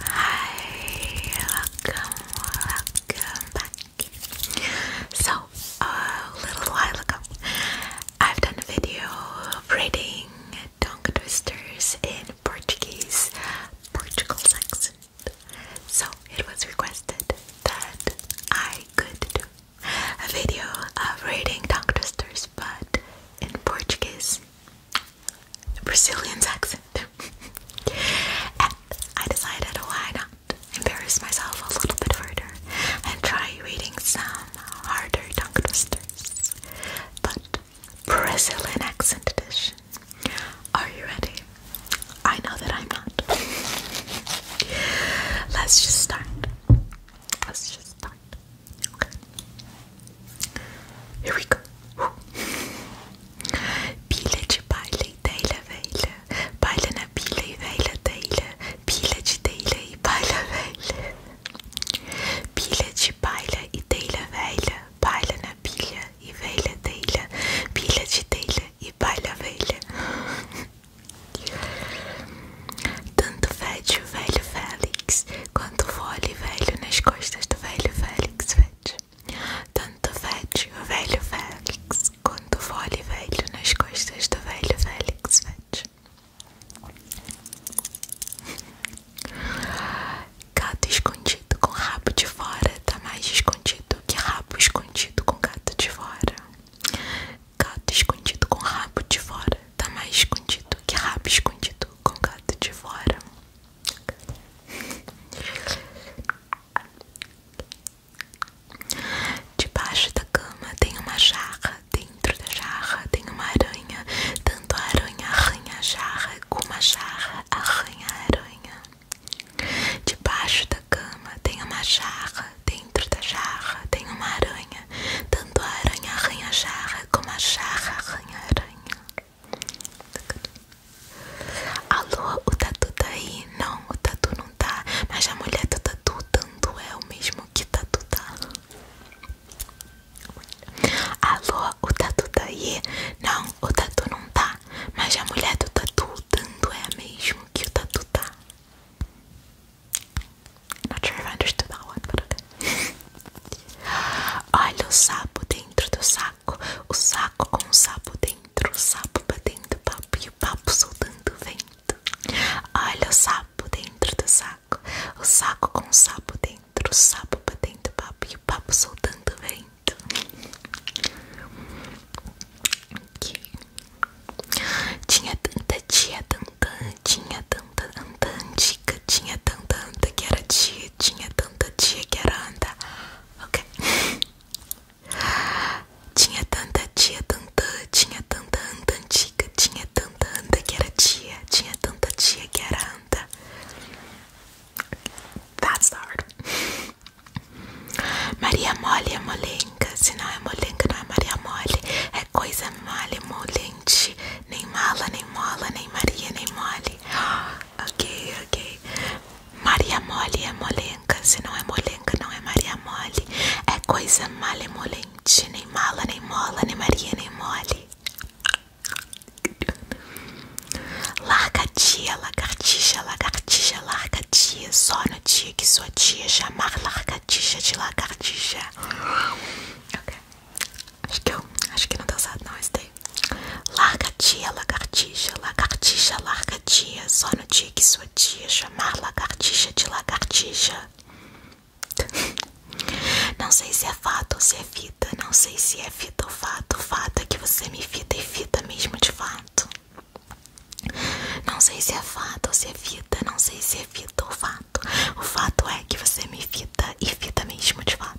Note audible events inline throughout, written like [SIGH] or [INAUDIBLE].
Hi, welcome, welcome back. So, a little while ago, I've done a video of reading tongue twisters in Portuguese, Portugal's accent. So, it was requested that I could do a video of reading tongue twisters, but in Portuguese. Brazilian accent. [LAUGHS] I decided why not embarrass myself a little bit further and try reading some harder tongue twisters. But Brazilian accent edition. Are you ready? I know that I'm not. [LAUGHS] Let's just start. Let's just start. Here we go. Pilha de palha e telha velha. Palha na pilha e velha telha. Pilha de telha e palha velha. Pilha de palha e telha velha. Palha na pilha e velha telha. Pilha de telha e palha velha. Tanto fede o velho Félix, quanto vole velho nas costas do velho Félix, tanto Fete, o velho Félix, quanto o velho nas costas do velho Félix Fete. Gato escondido com rabo de fora tá mais escondido que rabo escondido com gato de fora. Gato escondido com rabo de fora tá mais escondido que rabo escondido com gato de fora. Debaixo da cama tem uma jarra, dentro da jarra tem uma aranha, tanto a aranha arranha jarra como a jarra arranha aranha. Debaixo da cama tem uma jarra, dentro da jarra tem uma aranha, tanto a aranha arranha jarra como a jarra arranha aranha. Alô, o tatu tá aí? Não, o tatu não tá. Mas a mulher do tatu tanto é o mesmo que tatu tá. Alô, o tatu tá aí? Não, o tatu não tá. Mas a mulher do tatu tanto é a mesmo que o tatu tá. Not sure if I understood that one, but okay. [LAUGHS] Olha o sapo dentro do saco o saco com o sapo dentro, o sapo batendo papo e o papo soltando vento. Olha o sapo dentro do saco, o saco com o sapo dentro, o sapo batendo papo e o papo soltando vento. Okay. Tinha tanta tia, tanta, tinha tanta, tanta antica, tinha tanta anta que era tia, tinha tanta tia que era anda Ok. tinha tanta tia, tanta, tinha tanta tanta antiga, tinha tanta que era tia, tinha tanta tia que era anda That's hard. Maria mole é molenca, se não é molenca não é Maria mole, é coisa mole, molente, nem mala, nem mola, nem Maria, nem mole. [GASPS] Ok, ok. Maria mole é molenca. Se não é molenca, não é Maria mole. É coisa mala e molente Nem mala, nem mola, nem Maria, nem mole. Largatia, lagartixa, lagartixa, largatia. Só no dia que sua tia chamar lagartixa de lagartixa. Ok. Acho que eu. Acho que não tá usado não esse daí. Larga tia, lagartixa, lagartixa, larga tia. Só no dia que sua tia chamar lagartixa de lagartixa. [LAUGHS] Não sei se é fato ou se é vida Não sei se é vida ou fato. Fato é que você me fita e fita mesmo de fato. Não sei se é fato ou se é vida Não sei se é vida ou fato. O fato é que você me fita e fita mesmo de fato.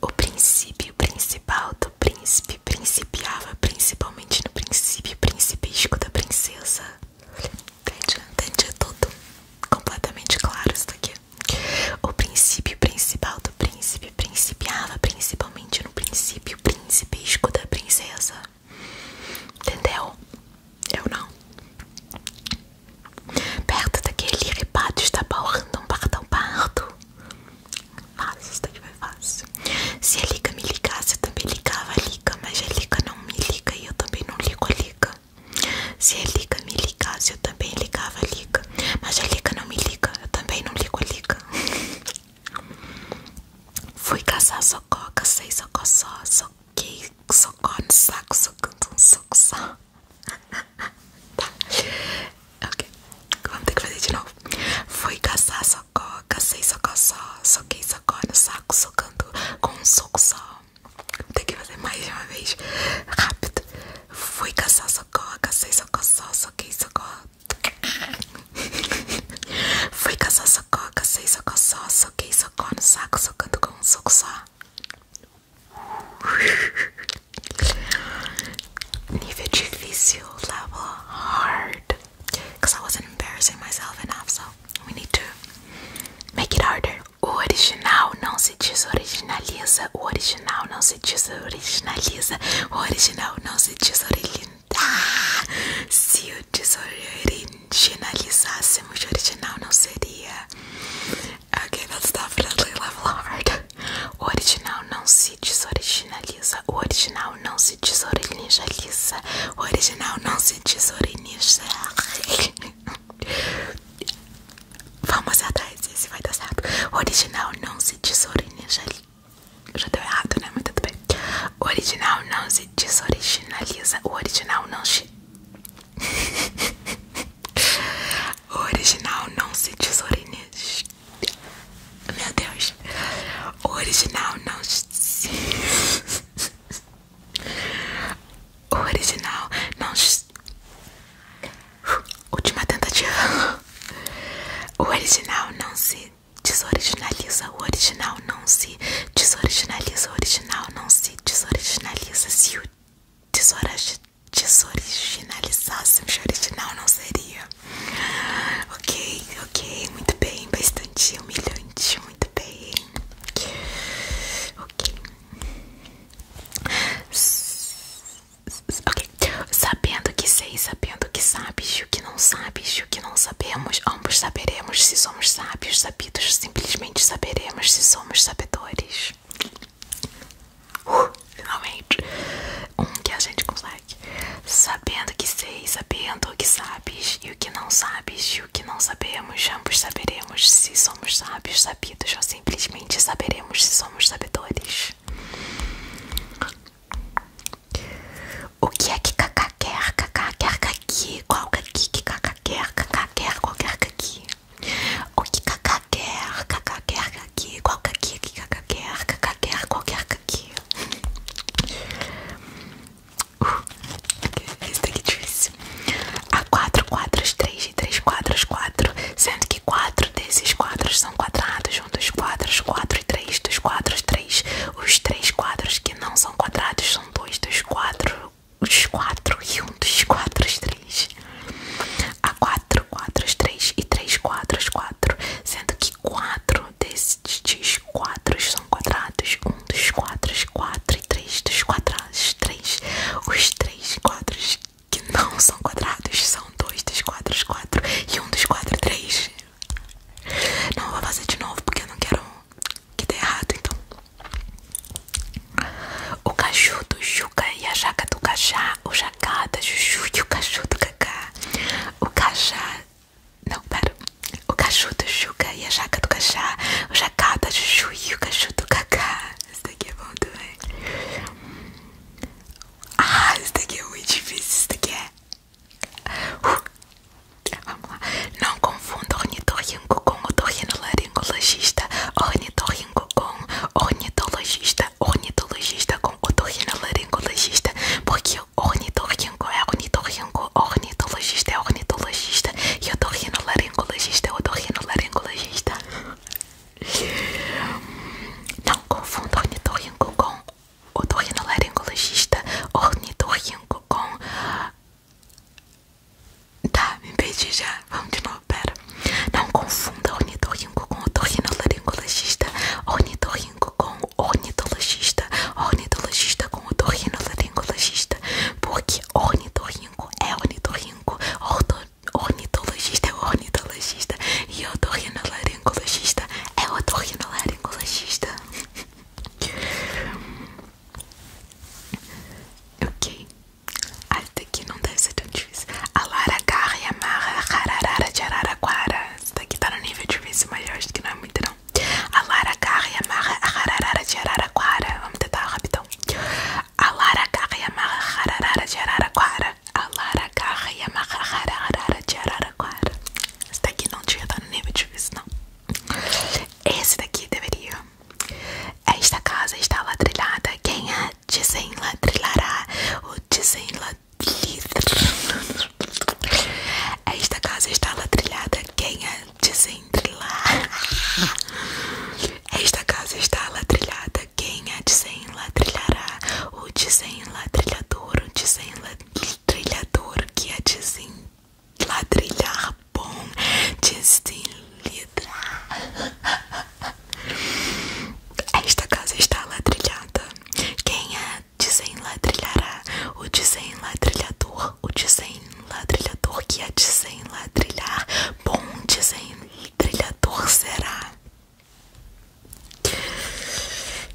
O princípio principal do príncipe principiava principalmente no princípio principesco da princesa. Entende? Entende tudo? Completamente claro isso daqui. O princípio principal do príncipe principiava principalmente no princípio principesco da princesa. Entendeu? Eu não. Perto daquele repado está balrando um pardão pardo. Fácil, isso daqui vai fácil. Se a Liga me ligasse, eu também ligava a Liga, mas a Liga não me liga e eu também não ligo a Liga. Se a Liga me ligasse, eu também ligava a Liga, mas a Liga não me liga, eu também não ligo a Liga. [LAUGHS] Fui caçar socó, cacei socó só, soquei socó no saco, socando um soco só. Tá. Ok. Vamos ter que fazer de novo. Fui caçar socó, cacei socó só, soquei socó no saco, socando com um soco só. Vamos ter que fazer mais de uma vez. Rápido. Fui caçar socó, cacei socó só, soquei socó. Fui caçar socó, cacei socó só, soquei socó no saco, socando com um soco só. Need Nível difícil, level hard. Because I wasn't embarrassing myself enough, so we need to make it harder. O original não se desoriginaliza. O original não se desoriginaliza. O original não se desoriginaliza. Se o desoriginalizássemos, o original não seria. Okay, that's definitely level hard. original não se desoriginaliza. original não se desoriginaliza. original não se desoriginaliza. [LAUGHS] Vamos atrás, esse vai dar certo. original não se desoriginaliza. Já deu errado, né? Mas tudo bem. original não se desoriginaliza. original não se. [LAUGHS] original não se tesourinha. Meu Deus. O original não se. O [LAUGHS] original não se. Última tentativa. O original não se desoriginaliza. O original não se desoriginaliza. O original não se desoriginaliza. Se o tesouro desoriginalizasse, original não seria. Ok, ok, muito bem, bastante humilhante, muito bem. Ok. Ok, sabendo que sei, sabendo que sabes e o que não sabes e o que não sabemos, ambos saberemos se somos sábios, sabidos, simplesmente saberemos se somos sabedores finalmente, um que a gente consegue, sabendo que sei, sabendo o que sabes e o que não sabes e o que não sabemos, ambos saberemos se somos sábios, sabidos ou simplesmente saberemos se somos sabedores. O que é que Kaká quer? Kaká quer Kaki? Qual Kaki que Kaká quer? Kaká quer qualquer Kaki? O que Kaká quer? Kaká quer Kaki. Qual Kaki que Kaká quer? Kaká quer qualquer Kaki. Uh, isso daqui é difícil. Há quatro quadros, três e três quadros, quatro. Sendo que quatro desses quadros são quadrados. Um dos quadros, quatro e três dos quadros, três. Os três quadros que não são quadrados são dois dos quatro. Os quatro e um dos quadros, três. Há quatro quatro, três e três, quatro, quatro. sendo que quatro desses quatro são quadrados, um dos quatro, quatro e três dos quadrados, três. Os três quadros que não são quadrados são dois dos quatro, quatro e um dos quatro, três. Não vou fazer de novo porque eu não quero que dê errado, então. O caju do Juca e a jaca do cajá o jacá da Juju e o cachorro do Cacá. O cachá. Não, pera. O cachorro do Juca e a jaca do cachá. O jacá da Juju e o cachorro do Cacá. Esse daqui é bom também. Ah, esse daqui é muito difícil. Esse daqui é. Uh, vamos lá. Não confunda ornitorrinco com o otorrinolaringologista. Ornitorrinco com ornitologista, ornitologista com otorrinolaringologista, porque ornitorrinco é ornitorrinco, ornitologista é ornitologista e otorrinolaringologista é otorrinolaringologista. Não confunda ornitorrinco com otorrinolaringologista, ornitorrinco com... Tá, me perdi já, vamos de novo. Não confunda ornitorrinco com otorrinolaringologista, ornitorrinco com ornitologista, ornitologista com otorrinolaringologista, porque ornitorrinco é ornitorrinco, ornitologista é ornitologista e otorrinolaringologista é otorrinolaringologista. [LAUGHS] ok, essa daqui não deve ser tão difícil. A Lara agarra e de Araraquara. Essa daqui tá no nível difícil, mas eu acho que não é muito não. A Lara agarra de Araraquara. Vamos tentar rapidão. A Lara agarra e amarra Hararara de Araraquara. A Lara agarra de Araraquara. Esse daqui não tinha estar tá no nível de difícil, não. Esse daqui deveria. Esta casa está ladrilhada. Quem é desenladrilhará o desenladrilhar. Esta casa está ladrilhada. Quem a desenladrilhar? Esta casa está ladrilhada. Quem a desenladrilhará O desenladrilhador o desenladrilhador que a desenladrilhar? Bom, desenladrilhar. Esta casa está ladrilhada. Quem é dizem ladrilhará? O dizem ladrilhador, o dizem ladrilhador que a é dizem ladrilhar. Bom dizem ladrilhador será.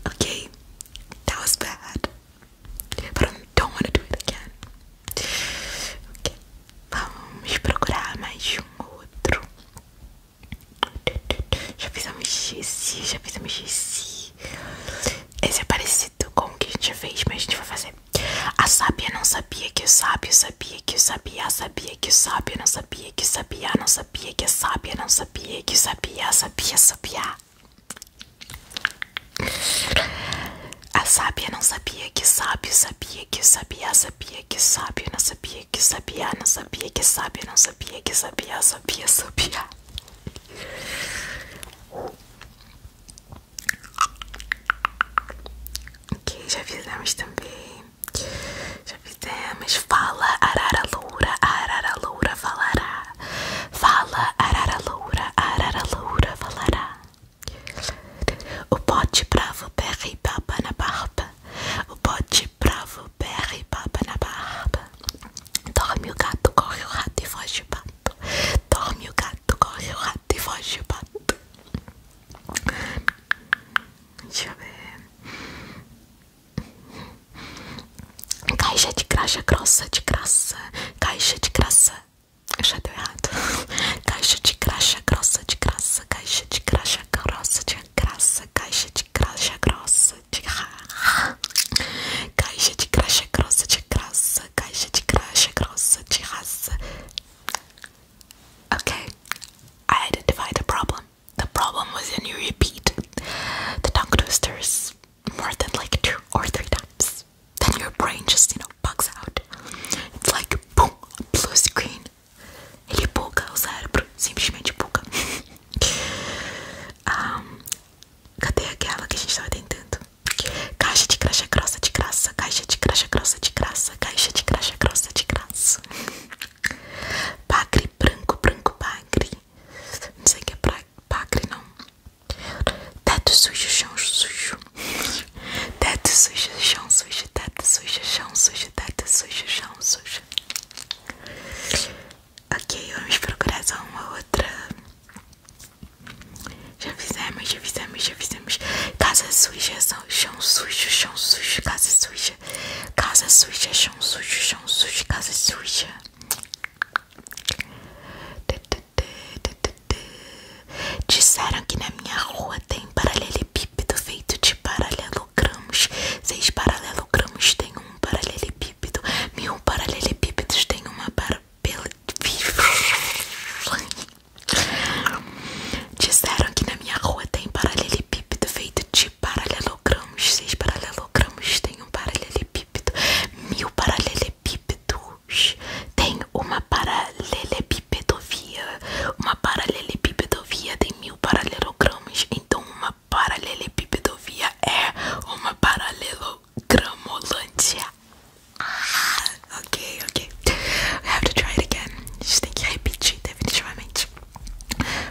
ok that was bad, but I don't want to do it again. Okay, vamos procurar mais um outro. Já fiz a MGC, já fiz a MGC. Esse é parecido com o que a gente fez, mas a gente vai fazer. A sábia não sabia que o sábio sabia que o sabiá sabia que o sábio não sabia que o sabiá não sabia que a sábia não sabia que o sabiá sabia sabiá. A sábia não sabia que o sábio sabia que o sabiá sabia sabia que sábio não sabia que sabia não sabia que sábio não sabia que sabia sabia sabia ok já fizemos também já fizemos fala arara loura arara loura falará fala arara loura arara loura falará o pote bravo berra e baba na barba o bote bravo berra e baba na barba. Dorme o gato, corre o rato e foge o pato. Dorme o gato, corre o rato e foge o pato. Deixa eu ver. Caixa de graxa, grossa de graça. Caixa de graça. Já deu errado. Caixa de graxa, grossa de graça. Caixa de graxa, grossa de caixa graça, caixa de graxa I identified the problem. The problem was in your repeat the tongue twisters more than like two or three times. Then your brain just, you know, bugs out. It's like boom, blue screen. Ele buga o cérebro, simplesmente buga. [LAUGHS] ah, cadê aquela que a gente tava tentando? Caixa de cracha grossa de graça, caixa de cracha grossa de graça, caixa de cracha grossa de graça. [LAUGHS] Pacre branco, branco, pacre. Não sei o que é pra... não. [LAUGHS] Teto sujo, chão sujo. Teto sujo, chão sujo, teto sujo, chão sujo sushi, suja sushi, chão sushi. Ok, vamos procurar só uma outra. Já fizemos, já fizemos, já fizemos. Casa suja, chão sujo, chão sujo, casa suja. Casa suja, chão sujo, chão sujo, casa suja. Disseram que na minha rua tem paralelepípedo feito feito de paralelogramos. Seis paralelogramos têm um paralelepípedo. Mil paralelepípedos têm uma para... Disseram que na minha rua tem paralelepípedo feito de paralelogramos. Seis paralelogramos têm um paralelepípedo. Mil paralelepípedos tem uma paralelepípedovia. Uma paralelepípedovia tem mil paralel então, uma paralelepipedovia é uma paralelogramolândia. Ah, ok, ok. We have to try it again. A gente tem que repetir definitivamente.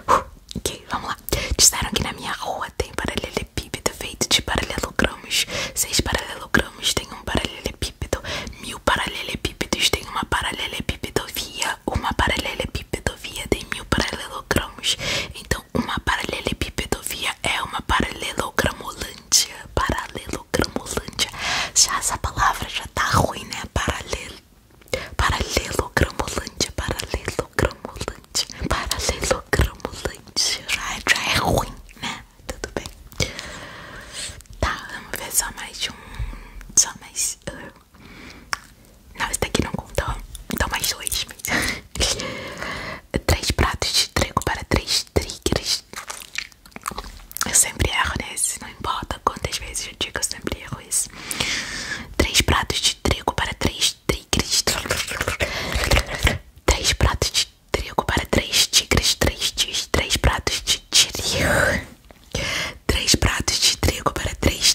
Uh, ok, vamos lá. Disseram que na minha rua tem paralelepípedo feito de paralelogramas. Seis paralelogramas tem um paralelepípedo. Mil paralelepípedos tem uma paralelepipedovia. Uma paralelepípedo paralelepipedovia tem mil paralelogramos. Então, uma paralelepipedovia é uma paralelogramolândia. Paralelogramolândia. Já essa palavra já tá ruim, né? Paralelo. Paralelogramolândia. Paralelogramolândia. Paralelogramolândia. Já, é, já é ruim, né? Tudo bem. Tá, vamos ver só mais um. Só mais. Uh, não, esse daqui não contou. Então mais dois. [LAUGHS] três pratos de trigo para três triggers. Eu sempre erro nesse, não importa quantas vezes eu digo, eu sempre erro isso Três pratos de trigo para três triggers. Três pratos de trigo para três tigres. Três tis, três pratos de trigo. Três pratos de trigo para três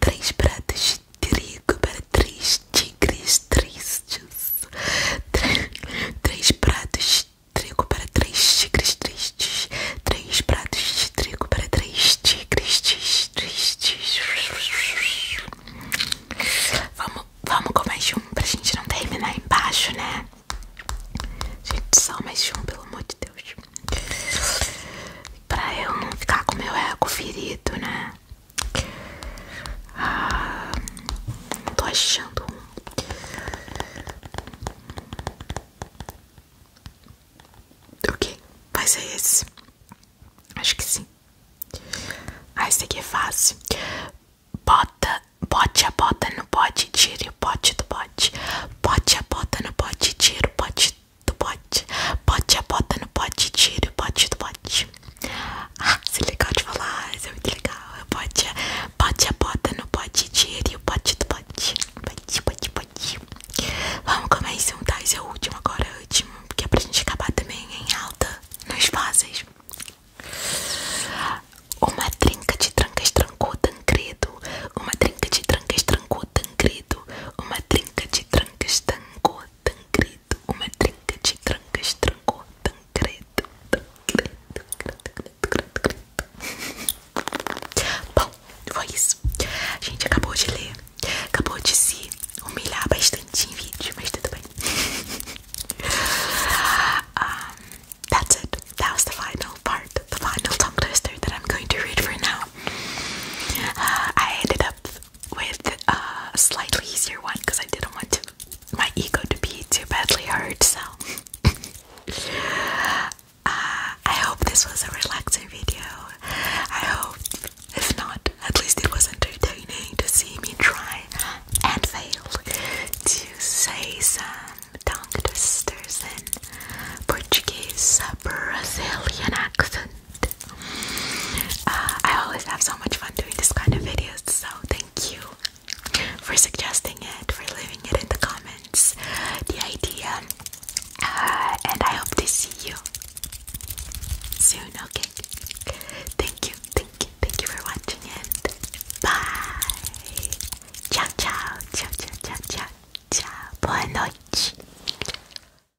Três pratos de trigo para três tigres tristes. Três, pratos de trigo para três tigres tristes. Três pratos de trigo para três tigres tristes. Vamos, vamos com mais um pra gente não terminar embaixo, né? Gente, só mais um, pelo amor de Deus. Pra eu não ficar com meu ego ferido, né? Ah, não tô achando um. Ok, vai ser esse. Acho que sim. Ah, esse aqui é fácil. Bota, bote a bota no pote, tire o pote do pote. Bote a bota no pote, tira o pote do pote. Pote é bota no pote, tira o pote do pote. Ah, isso é legal de falar, isso é muito legal. Pote é, pote é bota no pote, tira o pote do pote. Pote, pote, pote. Vamos começar isso, tá? Esse é o último agora, o último, porque é pra gente acabar também em alta, nos fáceis. Uma trinca de trancas trancou Tancredo. Uma trinca de trancas trancou Tancredo. Uma trinca de trancas trancou Tancredo, uma trinca de trancas, trancou Tancredo, Tancredo, Tancredo, Tancredo, Tancredo. Bom, foi isso. A gente acabou de ler, acabou de se humilhar bastante em vídeo, mas tudo bem. [LAUGHS] Ah, that's it. That was the final part, the final tongue twister that I'm going to read for now. Ah, I ended up with uh, a slightly easier one because I didn't want my ego to be too badly hurt. So [LAUGHS] uh, I hope this was a relaxing video. I hope, if not, at least it was entertaining to see me try and fail to say some tongue twisters in Portuguese Brazilian accent. Uh, I always have so much fun doing this kind of videos, so thank you for suggesting it, for leaving it in the comments, the idea, uh, and I hope to see you soon, okay? Thank you, thank you, thank you for watching it. Bye! Ciao, ciao, ciao, ciao, ciao, ciao, ciao. Boa